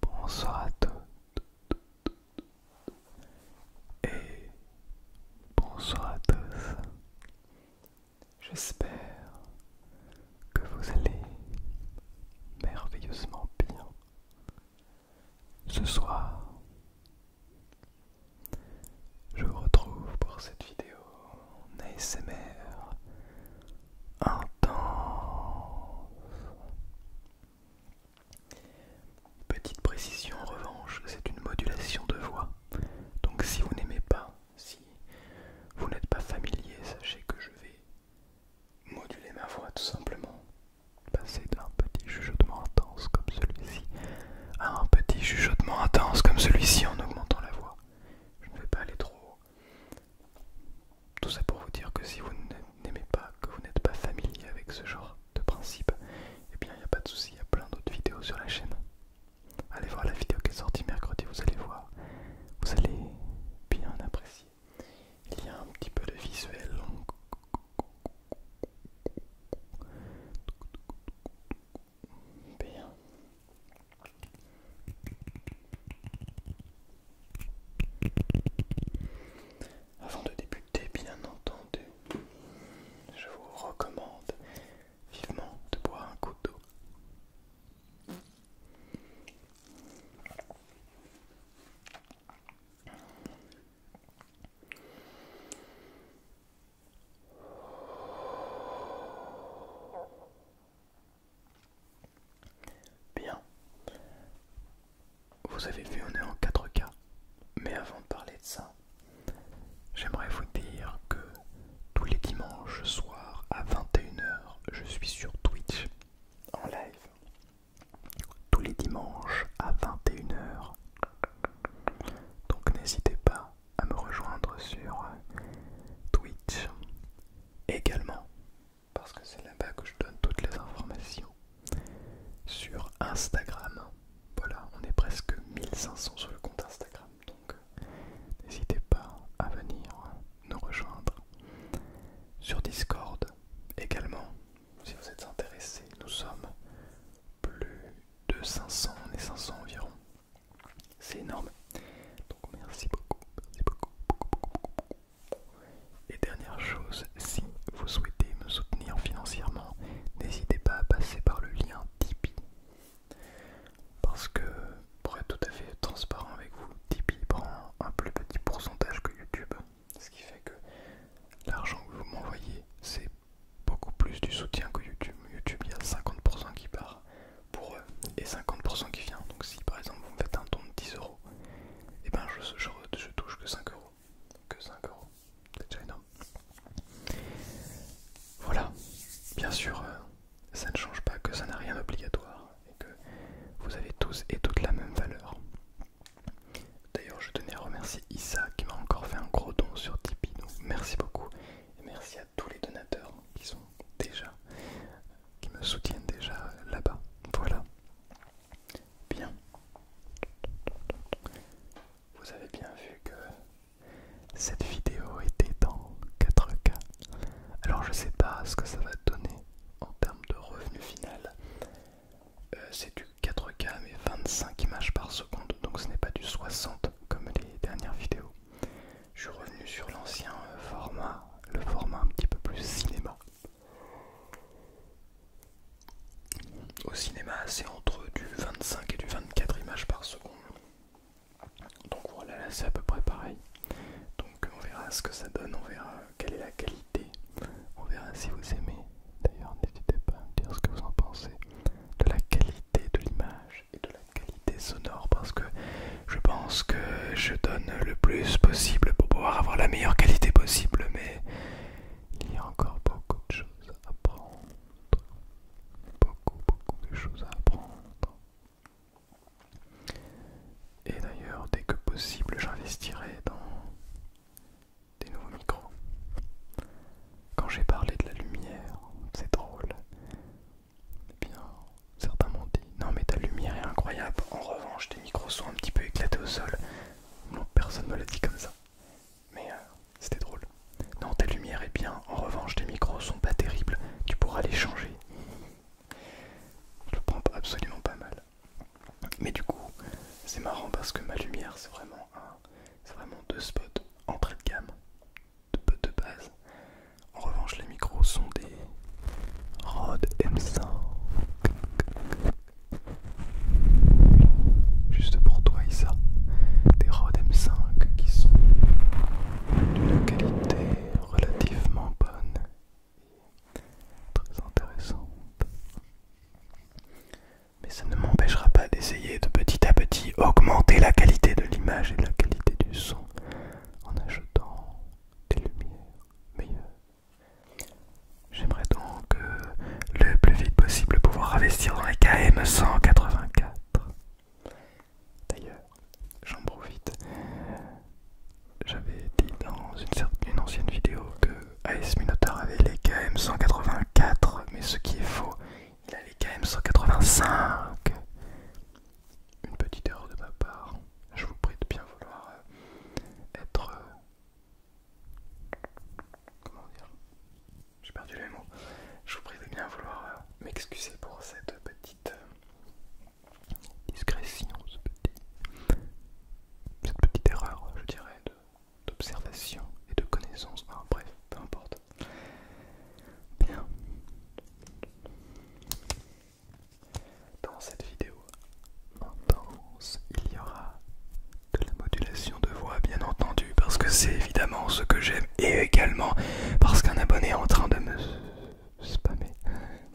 Bonsoir à tous et bonsoir à tous. J'espère que vous allez merveilleusement bien. Ce soir, je vous retrouve pour cette vidéo en ASMR intense. Petite précision en revanche, c'est une modulation de voix. Donc si vous n'aimez pas, si vous n'êtes pas familier, sachez que je vais moduler ma voix tout simplement. Passer d'un petit chuchotement intense comme celui-ci un petit jugeotement intense comme celui-ci en augmentant la voix. Je ne vais pas aller trop Tout ça pour vous dire que si vous n'aimez pas, que vous n'êtes pas familier avec ce genre de principe, et eh bien il n'y a pas de souci, il y a plein d'autres vidéos sur la chaîne. Allez voir la vidéo qui est sortie mercredi, vous allez voir. Vous allez bien apprécier. Il y a un petit peu de visuel. Avant de débuter, bien entendu, je vous recommande vivement de boire un coup d'eau. Bien. Vous avez vu, on est en 4K. Mais avant de parler de ça, j'aimerais vous dire que tous les dimanches soirs à 21h, je suis sur Twitch en live. Tous les dimanches à 21h. Donc n'hésitez pas à me rejoindre sur euh, Twitch également, parce que c'est là-bas que je donne toutes les informations. Sur Instagram, voilà, on est presque 1500 sur le compte Instagram, donc euh, n'hésitez pas à venir nous rejoindre. Sur Discord également, si vous êtes intéressé, nous sommes plus de 500, on est 500 environ. C'est énorme. Donc merci beaucoup, merci beaucoup, beaucoup, beaucoup, beaucoup. Et dernière chose, si vous souhaitez me soutenir financièrement, n'hésitez pas à passer par le lien Tipeee. Parce que, pour être tout à fait transparent avec vous, Tipeee prend un plus petit pourcentage que YouTube. Ce qui fait que l'argent que vous m'envoyez, c'est beaucoup plus du soutien que YouTube. YouTube, il y a 50% qui part pour eux et 50% qui vient. Donc, si par exemple vous me faites un don de 10 euros, et eh ben je, touche que 5 euros. Que 5 euros, c'est déjà énorme. Voilà, bien sûr, euh, ça ne change pas que ça n'a rien d'obligatoire et que vous avez tous et toutes la même valeur. D'ailleurs, je tenais à remercier Issa qui m'a encore fait un gros don sur Tipeee. Donc merci beaucoup et merci à tous les donateurs qui sont déjà, qui me soutiennent déjà là-bas. Voilà. Bien. Vous avez bien vu que cette vidéo était en 4K. Alors je sais pas ce que ça va donner en termes de revenu final. Euh, c'est du 4K mais 25 images par seconde, donc ce n'est pas du 60 comme les dernières vidéos. Je suis revenu sur l'ancien euh, format, le format un petit peu plus cinéma. Au cinéma, c'est entre du 25 et du 24 images par seconde. Donc voilà, là c'est à peu près pareil. Donc on verra ce que ça donne, on verra quelle est la qualité. On verra si vous aimez. D'ailleurs, n'hésitez pas à me dire ce que vous en pensez de la qualité de l'image et de la qualité sonore parce que je pense que je donne le plus possible pour pouvoir avoir la meilleure qualité possible mais il y a encore beaucoup de choses à apprendre beaucoup beaucoup de choses à apprendre et d'ailleurs dès que possible j'investirai dans des nouveaux micros. Quand j'ai parlé de la lumière, c'est drôle. Eh bien, certains m'ont dit Non, mais ta lumière est incroyable. En revanche, tes micros sont un petit peu éclatés au sol. Non, personne ne me l'a dit comme ça. Mais euh, c'était drôle. Non, ta lumière est bien. En revanche, tes micros sont pas terribles. Tu pourras les changer. Je le prends absolument pas mal. Mais du coup, c'est marrant parce que ma lumière, c'est vraiment un c'est vraiment deux spots entrée de gamme, de, de base. En revanche, les micros sont des Rode M5. Juste pour toi, Issa. Des Rode M5 qui sont d'une qualité relativement bonne. Très intéressante mais ça ne m'empêchera pas d'essayer de petit à petit augmenter la qualité de l'image et la qualité du son en ajoutant des lumières meilleures. J'aimerais donc le plus vite possible pouvoir investir dans les KM 184. D'ailleurs, j'en profite. J'avais dit dans une ancienne vidéo que euh, AS Minotaur avait les KM 184, mais ce qui est faux, il a les KM 185. Une petite erreur de ma part. Je vous prie de bien vouloir euh, être. Euh, comment dire J'ai perdu les mots. Je vous prie de bien vouloir m'excuser pour cette petite discrétion, cette petite erreur, je dirais, d'observation et de connaissance. Enfin, ah, bref, peu importe. Bien. Dans cette vidéo intense, il y aura de la modulation de voix, bien entendu, parce que c'est évidemment ce que j'aime et également parce qu'un abonné est en train de me spammer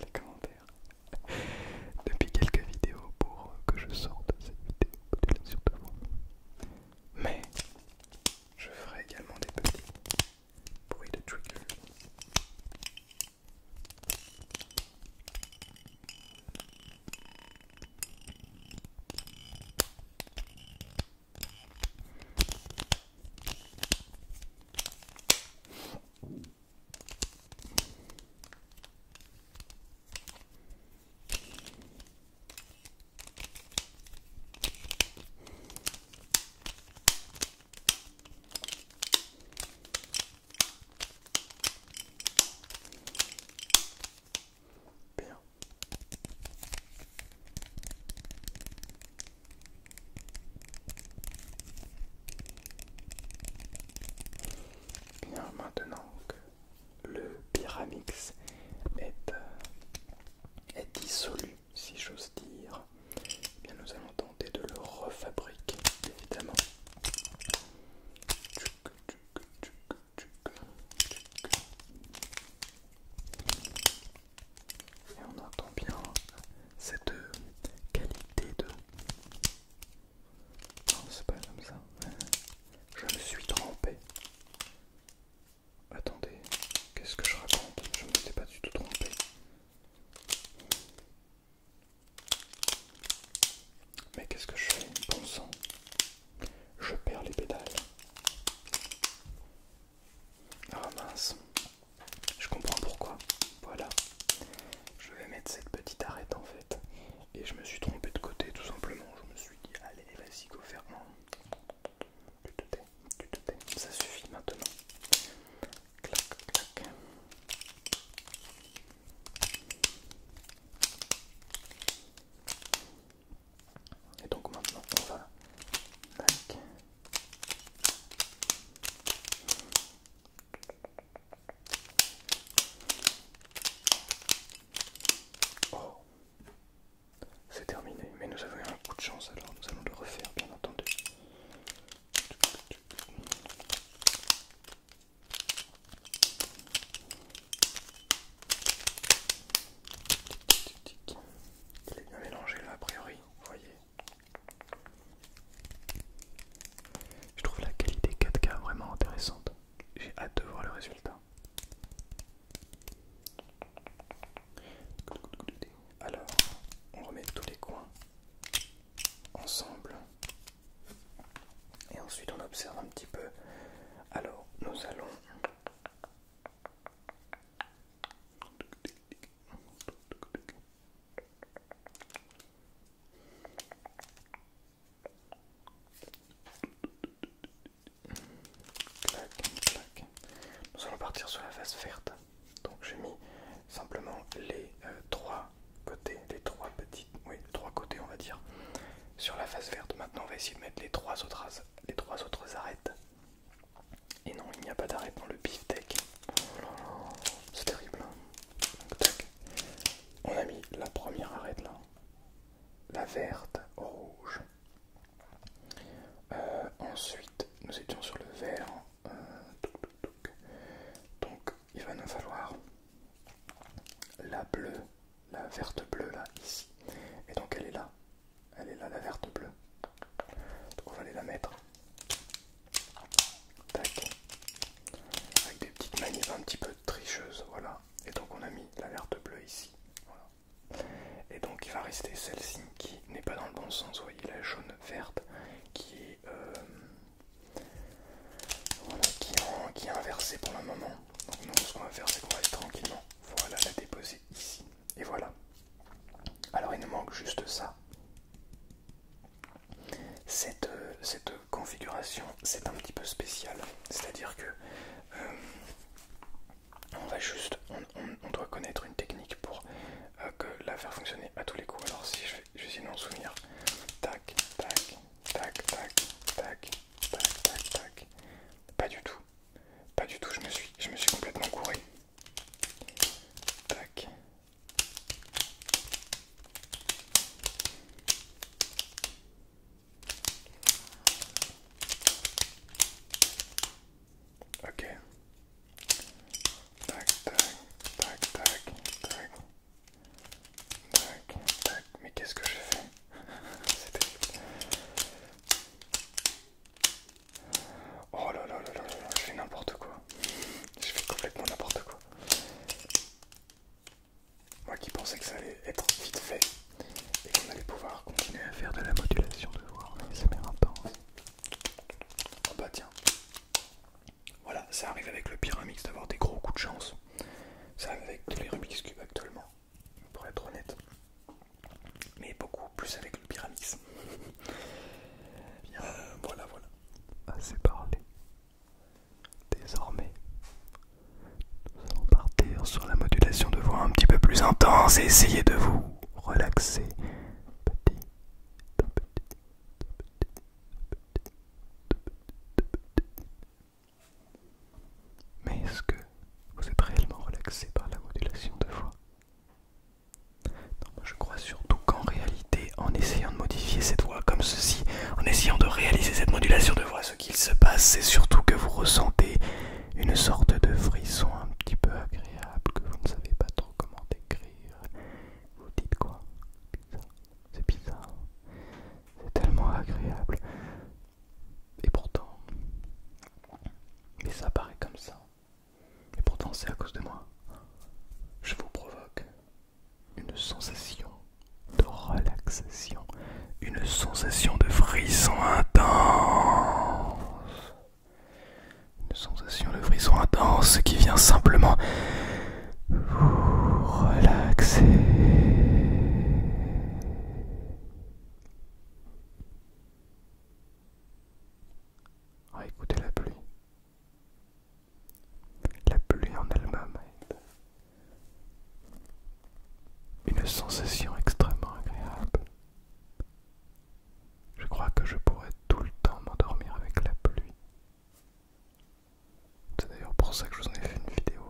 les commentaires depuis quelques vidéos pour que je sorte cette vidéo. Mais je ferai également des petits bruits de trigger. Bien. maintenant que le pyramix euh, est, dissolu, si j'ose dire. Eh bien, nous allons tenter de le refabriquer, évidemment. Et on entend bien cette qualité de non, c'est pas comme ça. Je me suis trompé. Attendez, qu'est-ce que je raconte Je ne suis pas du tout trompé. Mais qu'est-ce que je fais Bon sang. Je perds les pédales. Ah mince. Je comprends pourquoi. Voilà. Je vais mettre cette petite arête en fait. Et je me suis trompé de côté tout simplement. Je me suis dit, allez, vas-y, go fermant. Tu te Ça suffit maintenant. Clac, clac. Et donc maintenant, on va. Oh C'est terminé, mais nous avons eu un coup de chance alors nous allons le refaire bien entendu. Il est bien mélangé là a priori, vous voyez. Je trouve la qualité 4K vraiment intéressante j'ai hâte de voir le résultat. Alors, on remet tous les coins ensemble et ensuite on observe un petit peu. Alors, nous allons nous allons partir sur la face verte. Donc j'ai mis simplement les euh, trois côtés, les trois petites, oui, les trois côtés on va dire, sur la face verte. Maintenant on va essayer de mettre les trois autres, les trois autres arêtes. Et non, il n'y a pas d'arête dans le beef deck. c'est terrible. On a mis la première arête là, la verte, rouge. Euh, ensuite, nous étions sur le vert. Euh, donc, il va nous falloir la bleue, la verte bleue là, ici. Et donc, elle est là. Elle est là, la verte bleue. on va aller la mettre. Avec des petites manifs un petit peu tricheuses, voilà. Et donc on a mis la verte bleue ici. Et donc il va rester celle-ci qui n'est pas dans le bon sens, vous voyez la jaune verte qui est, euh, qui, est inversée pour le moment. Donc nous ce qu'on va faire c'est qu'on va aller tranquillement. Voilà la déposer ici. Et voilà. Alors il nous manque juste ça. Cette, cette configuration, c'est un petit peu spécial, c'est-à-dire que euh, on va juste, on, doit connaître une technique pour euh, que la faire fonctionner à tous les coups. Alors si je vais, essayer de souvenir, tac, tac, tac, tac, tac, tac, tac, tac, pas du tout, pas du tout. Je me suis, je me suis complètement couré. Tac, Ok. Tac, tac, tac, tac, tac. Tac, Mais qu'est-ce que j'ai fait Oh là là là là là, je fais n'importe quoi. Je fais complètement n'importe quoi. Moi qui pensais que ça allait être vite fait et qu'on allait pouvoir continuer à faire de la modulation de voix en ASMR oh bah tiens. Voilà, ça arrive avec le Pyramix d'avoir des gros coups de chance. Ça arrive avec tous les Rubik's Cube actuellement, pour être honnête. Mais beaucoup plus avec le Pyramix. Euh, voilà, voilà. Assez parlé. Désormais, nous allons partir sur la modulation de voix un petit peu plus intense et essayer de vous relaxer petit petit, petit, Mais est-ce que vous êtes réellement relaxé par la modulation de voix Non, je crois surtout qu'en réalité, en essayant de modifier cette voix comme ceci, en essayant de réaliser cette modulation de voix. Ce qu'il se passe, c'est surtout que vous ressentez une sorte de frisson un petit peu agréable que vous ne savez pas trop comment décrire. Vous dites quoi C'est bizarre. C'est tellement agréable. Et pourtant... Mais ça paraît comme ça. Et pourtant c'est à cause de moi. Je vous provoque une sensation de relaxation, une sensation de frisson intense, une sensation de frisson intense qui vient simplement vous relaxer. Ah, écoutez la pluie. La pluie en elle-même est une sensation extrêmement agréable. Je crois que je pourrais tout le temps m'endormir avec la pluie. C'est d'ailleurs pour ça que je vous en ai fait une vidéo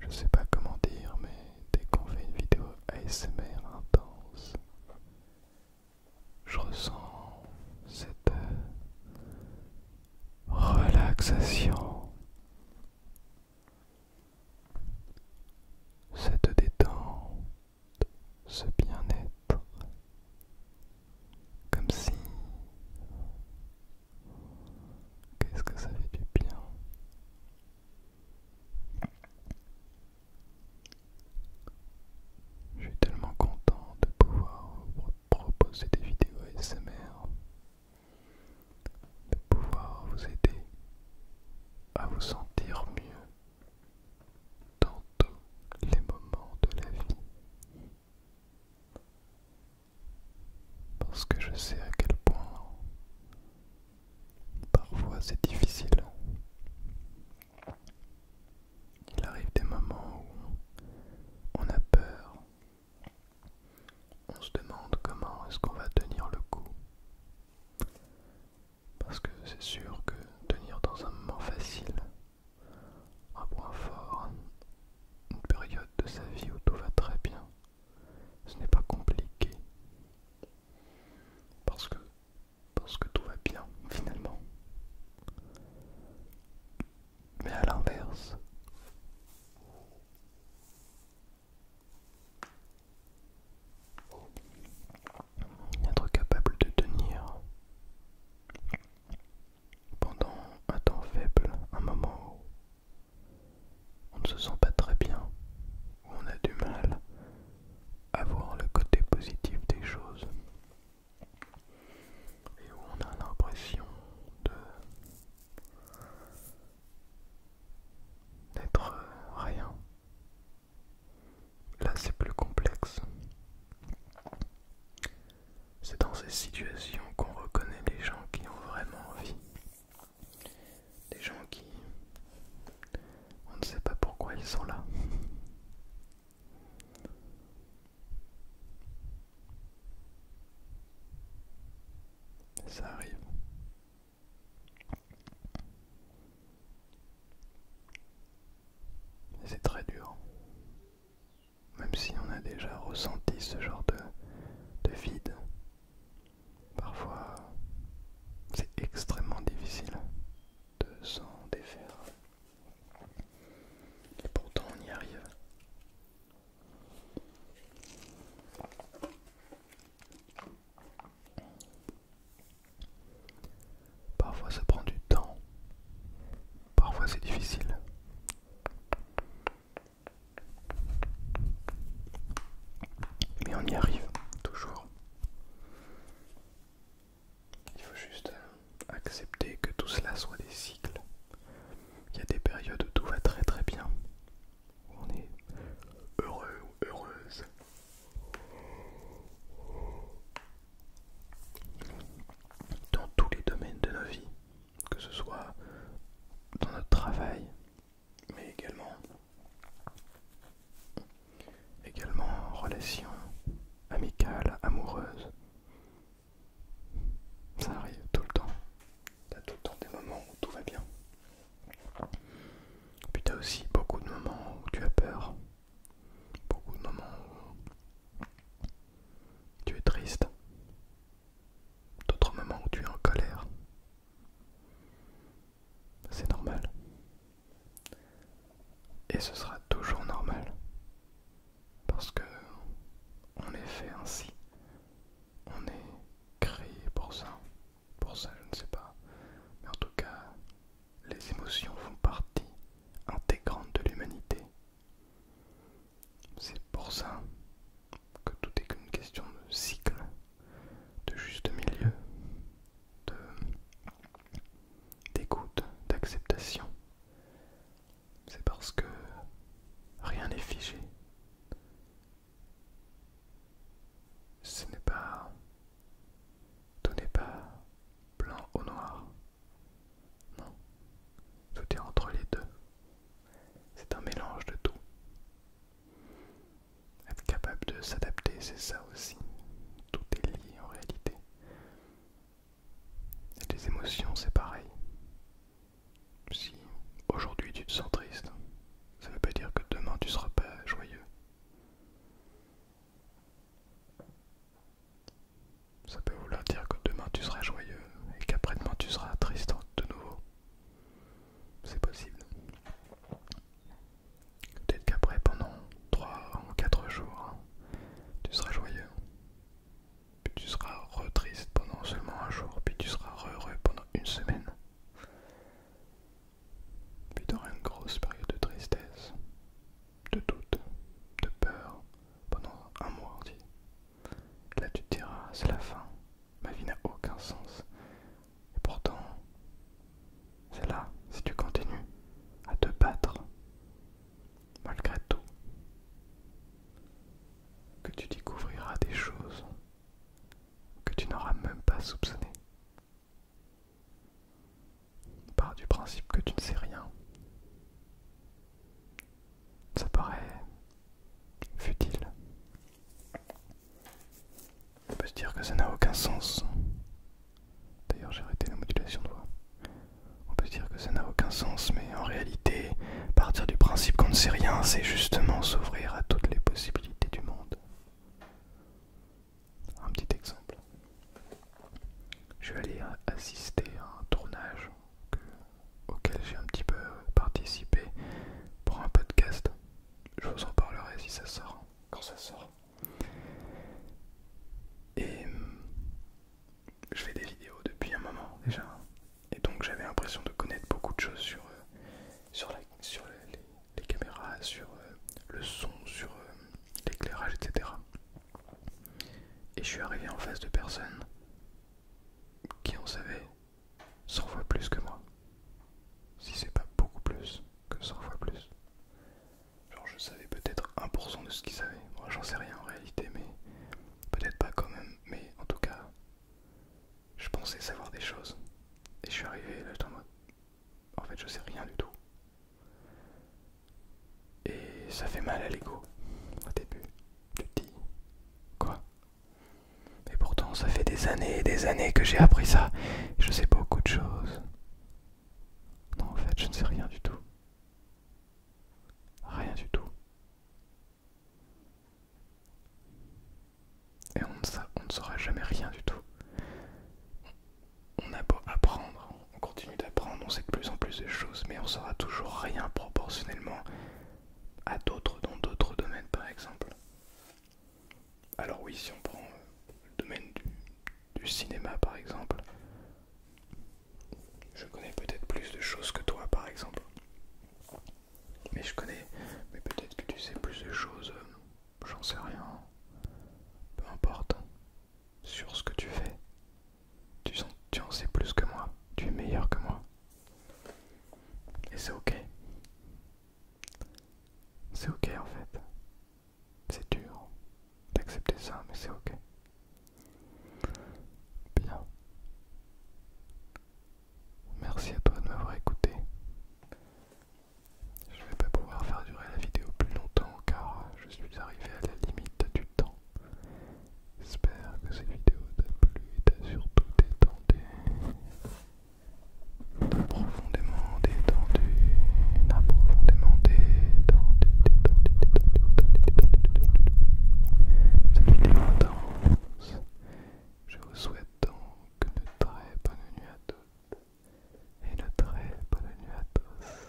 je sais pas comment dire, mais dès qu'on fait une vidéo ASMR intense, je ressens cette euh, relaxation, cette détente, ce bien-être, comme si Qu'est-ce que ça fait du bien Je suis tellement content de pouvoir vous proposer des vidéos ASMR, de pouvoir vous aider à vous sentir mieux dans tous les moments de la vie parce que je sais à quel point parfois c'est difficile. Il arrive des moments où on a peur, on se demande comment est-ce qu'on va tenir le coup. Parce que c'est sûr que tenir dans un moment facile, un point fort, une période de sa vie où tout va très bien, ce n'est pas compliqué. Parce que, parce que tout va bien, finalement. Mais à l'inverse, être capable de tenir pendant un temps faible, un moment on ne se sent pas très bien, ou on a du mal à voir le côté positif des choses, et où on a l'impression de d'être rien. Là c'est plus complexe. C'est dans ces situations qu'on reconnaît les gens qui ont vraiment envie des gens qui... On ne sait pas pourquoi ils sont là. Ça arrive. C'est très dur. Même si on a déjà ressenti ce genre de, de vide, Parfois, c'est extrêmement difficile de s'en défaire. Et pourtant, on y arrive. Parfois ça prend du temps, parfois c'est difficile, mais on y arrive, toujours. Il faut juste euh, accepter que tout cela soit des cycles. Il y a des périodes où tout va très très bien, où on est heureux ou heureuse. Dans tous les domaines de nos vies, que ce soit dans notre travail, mais également, également en relation amicale, amoureuse. Ça arrive tout le temps. T'as tout le temps des moments où tout va bien. Puis t'as aussi beaucoup de moments où tu as peur. Beaucoup de moments où tu es triste d'autres moments où tu es en colère. C'est normal. Et ce sera toujours normal. Parce que on est fait ainsi. On est créé pour ça. Pour ça, je ne sais pas. Mais en tout cas, les émotions font partie intégrante de l'humanité. C'est pour ça que tout est qu'une question de cycle, de juste milieu, d'écoute, d'acceptation. C'est parce que rien n'est figé. Ce n'est pas... Tout n'est pas blanc ou noir. Non. Tout est entre les deux. C'est un mélange de tout. Être capable de s'adapter, c'est ça aussi. Tout est lié en réalité. Et les émotions, c'est pareil. Si aujourd'hui tu te sens triste, ça ne veut pas dire que demain tu ne seras pas joyeux. Ça peut vouloir dire que demain tu seras joyeux euh, et qu'après-demain tu seras triste de nouveau. C'est possible. Peut-être qu'après, pendant 3 ou 4 jours, hein, tu seras joyeux. Puis tu seras re-triste pendant seulement un jour, puis tu seras heureux pendant une semaine. Puis tu auras une grosse période de tristesse, de doute, de peur, pendant un mois entier. Là tu te diras, ah, c'est la fin. Ma vie n'a aucun sens. Et pourtant, c'est là, si tu continues à te battre, malgré tout, que tu découvriras des choses que tu n'auras même pas soupçonnées. Par du principe que tu ne sais rien ça paraît futile. On peut se dire que ça n'a aucun sens. D'ailleurs, j'ai arrêté la modulation de voix. On peut se dire que ça n'a aucun sens, mais en réalité, partir du principe qu'on ne sait rien, c'est justement s'ouvrir à toutes les possibilités du monde. Un petit exemple. Je vais aller assister à un tournage que auquel j'ai un petit peu participé pour un podcast. Je vous en parlerai si ça sort, quand ça sort. Et je fais des vidéos depuis un moment déjà. Et donc j'avais l'impression de connaître beaucoup de choses sur, euh, sur, les, caméras, sur euh, le son, sur euh, l'éclairage, etc. Et je suis arrivé en face de personnes qui en savait 100 fois plus que moi. Si c'est pas beaucoup plus que 100 fois plus. Genre je savais peut-être 1% de ce qu'ils savaient. Moi j'en sais rien en réalité, mais peut-être pas quand même. Mais en tout cas, je pensais savoir des choses. Et je suis arrivé là, j'étais en mode. En fait, je sais rien du tout. Et ça fait mal à l'ego au début. Tu dis quoi Et pourtant ça fait des années et des années que j'ai appris ça. Je sais beaucoup de choses. Non en fait je ne sais rien du tout. Rien du tout. Et on ne, on ne saura jamais rien du tout. On a beau apprendre, on continue on sait de plus en plus de choses, mais on saura toujours rien proportionnellement à d'autres dans d'autres domaines par exemple. Alors oui, si on prend euh, le domaine du cinéma par exemple, je connais peut-être plus de choses que toi par exemple. Mais je connais, mais peut-être que tu sais plus de choses, euh, j'en sais rien, peu importe, sur ce que tu fais, tu, en sais plus que moi, tu es meilleur que moi. Et c'est ok. C'est ok en fait. C'est dur d'accepter ça, mais c'est ok. Bien. Merci à toi de m'avoir écouté. Je vais pas pouvoir faire durer la vidéo plus longtemps car je suis arrivé à la limite du temps. J'espère que cette vidéo t'a plu et t'a surtout détendu. profondément détendu. T'as profondément détendu, C'est une vidéo Je vous souhaite donc une très bonne nuit à toutes. Et une très bonne nuit à tous.